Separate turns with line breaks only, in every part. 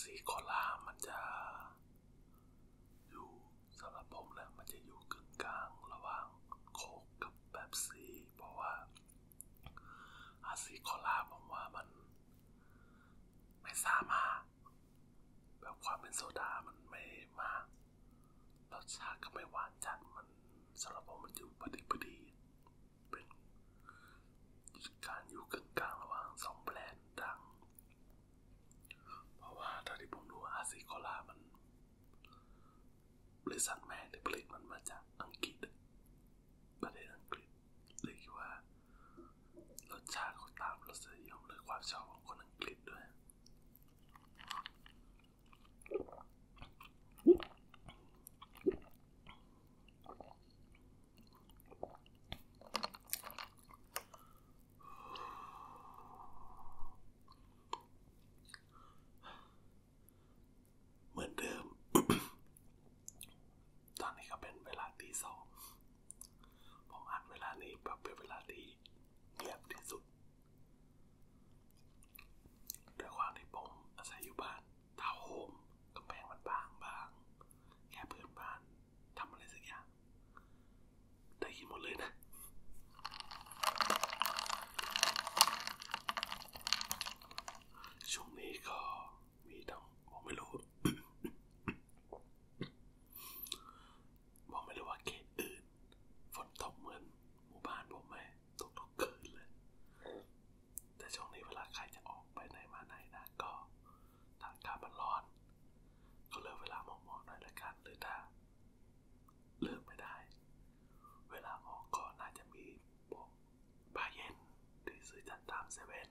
สีโคลามันจะอยู่สำหรับผมแล้วมันจะอยู่กึ่งกลางระหว่างโคกกับแบบซีเพราะว่า อาซีโคลาผมว่ามัน ไม่สามารถ แบบความเป็นโซดามันไม่มากรสชาติก็ไม่หวานจัดมันสำหรับผมมันอยู่พอดีพอดีเป็นการอยู่กึ่งกลางระหว่างสองแบรนด์ดัง เพราะว่าเท่าที่ผมดูอาซิโคลามันบริษัทแม่ที่ผลิตมันมาจากอังกฤษ ประเทศอังกฤษเลยคิดว่ารสชาติเขาตามรสนิยมหรือความชอบของคนอังกฤษด้วยเหมือนเดิม ตอนนี้ก็เป็นเวลาตีสอง ผมอัดเวลานี้แบบเป็นเวลาที่เงียบที่สุดด้วยความที่ผมอาศัยอยู่บ้านทาวน์โฮมกำแพงมันบางบาง แค่เพื่อนบ้านทำอะไรสักอย่าง ได้ยินหมดเลยนะช่วงนี้ก็มีทั้งผมไม่รู้ ผมไม่รู้ว่าเขตอื่น ฝนตกเหมือน หมู่บ้านผมไหมตกทุกคืนเลย แต่ช่วงนี้เวลาใครจะออกไปไหนมาไหนนะก็ทางการมันร้อน ก็เลือกเวลาเหมาะๆหน่อยละกันหรือถ้า เลือกไม่ได้ เวลาออกก็น่าจะมีพวกบาเย็นที่ซื้อจากตามเซเว่น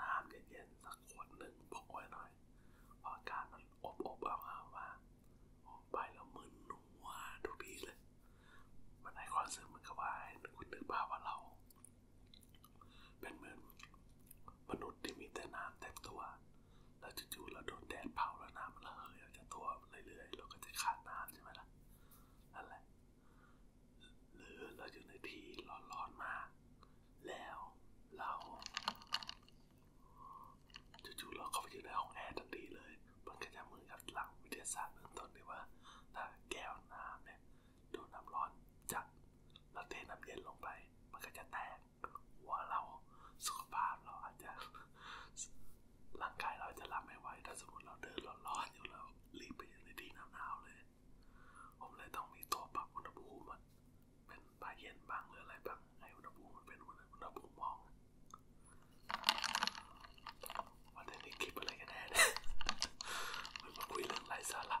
น้ำเย็นๆสักขวดหนึ่งพกไว้หน่อยเพราะอากาศมันอบอบอ้าวๆว่าออกไปแล้วมึนหนัวทุกทีเลยมันให้ความรู้สึกเหมือนกับว่าให้คุณนึกภาพว่าเราเป็นเหมือนมนุษย์ที่มีแต่น้ำเต็มตัวแล้วจู่ๆเราโดนแดดเผาแล้วน้ำมันระเหยออกจากตัวเรื่อยๆ เราก็จะขาดน้ำใช่ไหมล่ะนั่นแหละหรือเราอยู่ในที่ร้อน ๆ มาก แล้วเราจู่ๆเราเข้าไปอยู่ในห้องแอร์ทันทีเลย มันก็จะเหมือนกับหลังวิทยาศาสตร์เบื้องต้นเลยว่าถ้าแก้วน้ำเนี่ยโดนน้ำร้อนจัดแล้วเทน้ำเย็นลงไป มันก็จะแตก หัวเราสุขภาพเราอาจจะร่างกายเราจะรับไม่ไหว ถ้าสมมติเราเดินร้อนๆ อยู่แล้วรีบไปอยู่ในที่หนาวๆเลย ผมเลยต้องมีตัวปรับอุณหภูมิ มันเป็นผ้าเย็นบ้างหรืออะไรบ้างให้อุณหภูมิมันเป็นอุณหภูมิมอง วันนี้คลิปอะไรกันแน่เนี่ยมันมาคุยเรื่องไร้สาระ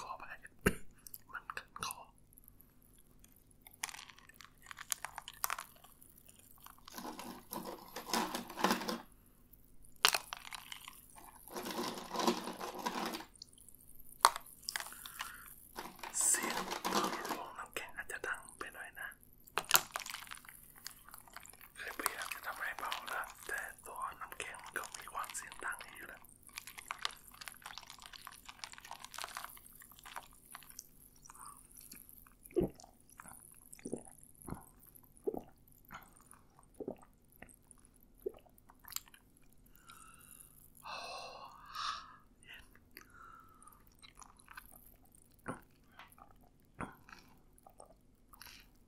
ขอไปมันขันคอเสียงตอนลงน้ำแข็งอาจจะดังไปหน่อยนะเลยพยายามจะทำให้เบานะแต่ตัวน้ำแข็งมันก็มีความเสียงดังอยู่แล้ว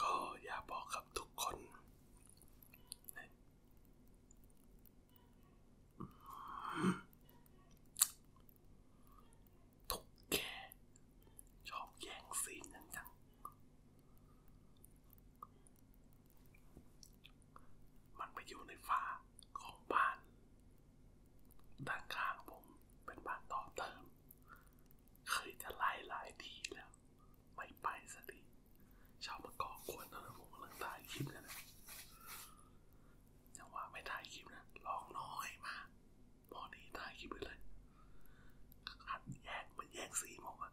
ก็อยากบอกกับทุกคน ทุกแกชอบแย่งซีนจังมันไปอยู่ในฝ้าของบ้านด้านข้างผมเป็นบ้านต่อเติม เคยจะไล่หลายทีแล้ว ไม่ไปสักทีชาวมะกอกควรนะผมกำลังถ่ายคลิปนะจังหวะไม่ถ่ายคลิปนะลองน้อยมาก พอดีถ่ายคลิปไปเลยหันแย่งมันแย่งสีผมอะ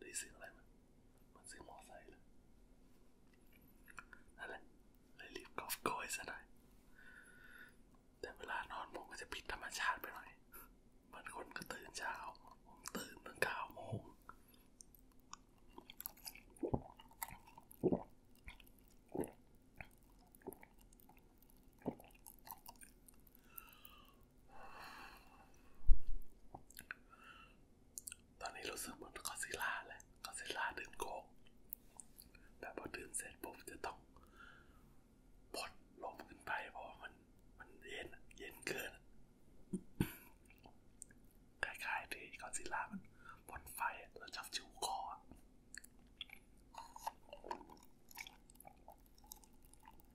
ได้เสียงอะไรมันมันเสียงมอไซค์เลยนั่นแหละเลยรีบกอบโกยซะหน่อยแต่เวลานอนผมก็จะผิดธรรมชาติไปหน่อยบางคนก็ตื่นเช้าผมตื่นตั้งเก้าโมงตอนนี้รู้สึกเหมือนกอซิล่าแหละกอซิล่าดื่มโกงแต่พอดื่มเสร็จปุ๊บจะต้องพดลมขึ้นไปเพราะว่ามันมันเย็นเย็นเกินคล้ายๆที่กอซิล่ามันบนไฟแล้วจับชิวคอ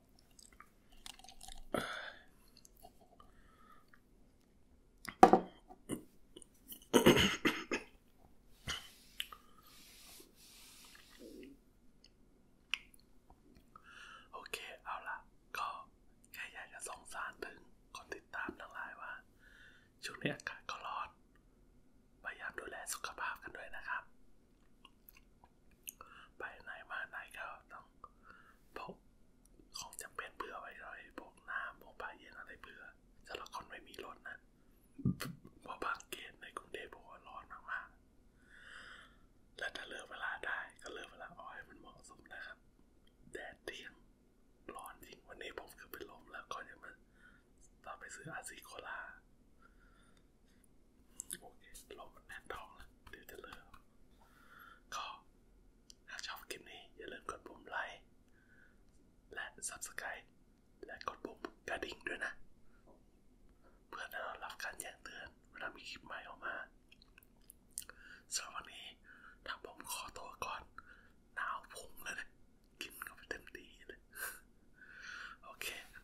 โอเคเอาละก็แค่อยากจะสงสารถึง คนติดตามทั้งหลายว่า ช่วงนี้อากาศก็ร้อน พยายามดูแลสุขภาพกันด้วยนะครับไปไหนมาไหนก็ต้องพกของจำเป็นเผื่อไว้ด้วยพกน้ำพกผ้าเย็นอะไรเผื่อสำหรับคนไม่มีรถนะเพราะบางเกณฑ์ในกรุงเทพบอกว่าร้อนมากๆและถ้าเลือกเวลาได้ ก็เลือกเวลาอ้อยมันเหมาะสมนะครับ แดดเที่ยงร้อนจริงวันนี้ผมคือเป็นลมแล้วก็ยังมาต่อไปซื้ออาซิโคลาโอเคเราแน่นท้องแล้ว เดี๋ยวจะเริ่มก็ถ้าชอบคลิปนี้ อย่าลืมกดปุ่มไลค์ และ subscribe และกดปุ่มกระดิ่งด้วยนะ เพื่อได้รับการแจ้งเตือนเวลามีคลิปใหม่ออกมา สำหรับวันนี้ถ้าผมขอตัวก่อนหนาวพุงเลยนะ กินก็ไปเต็มที่เลยโอเค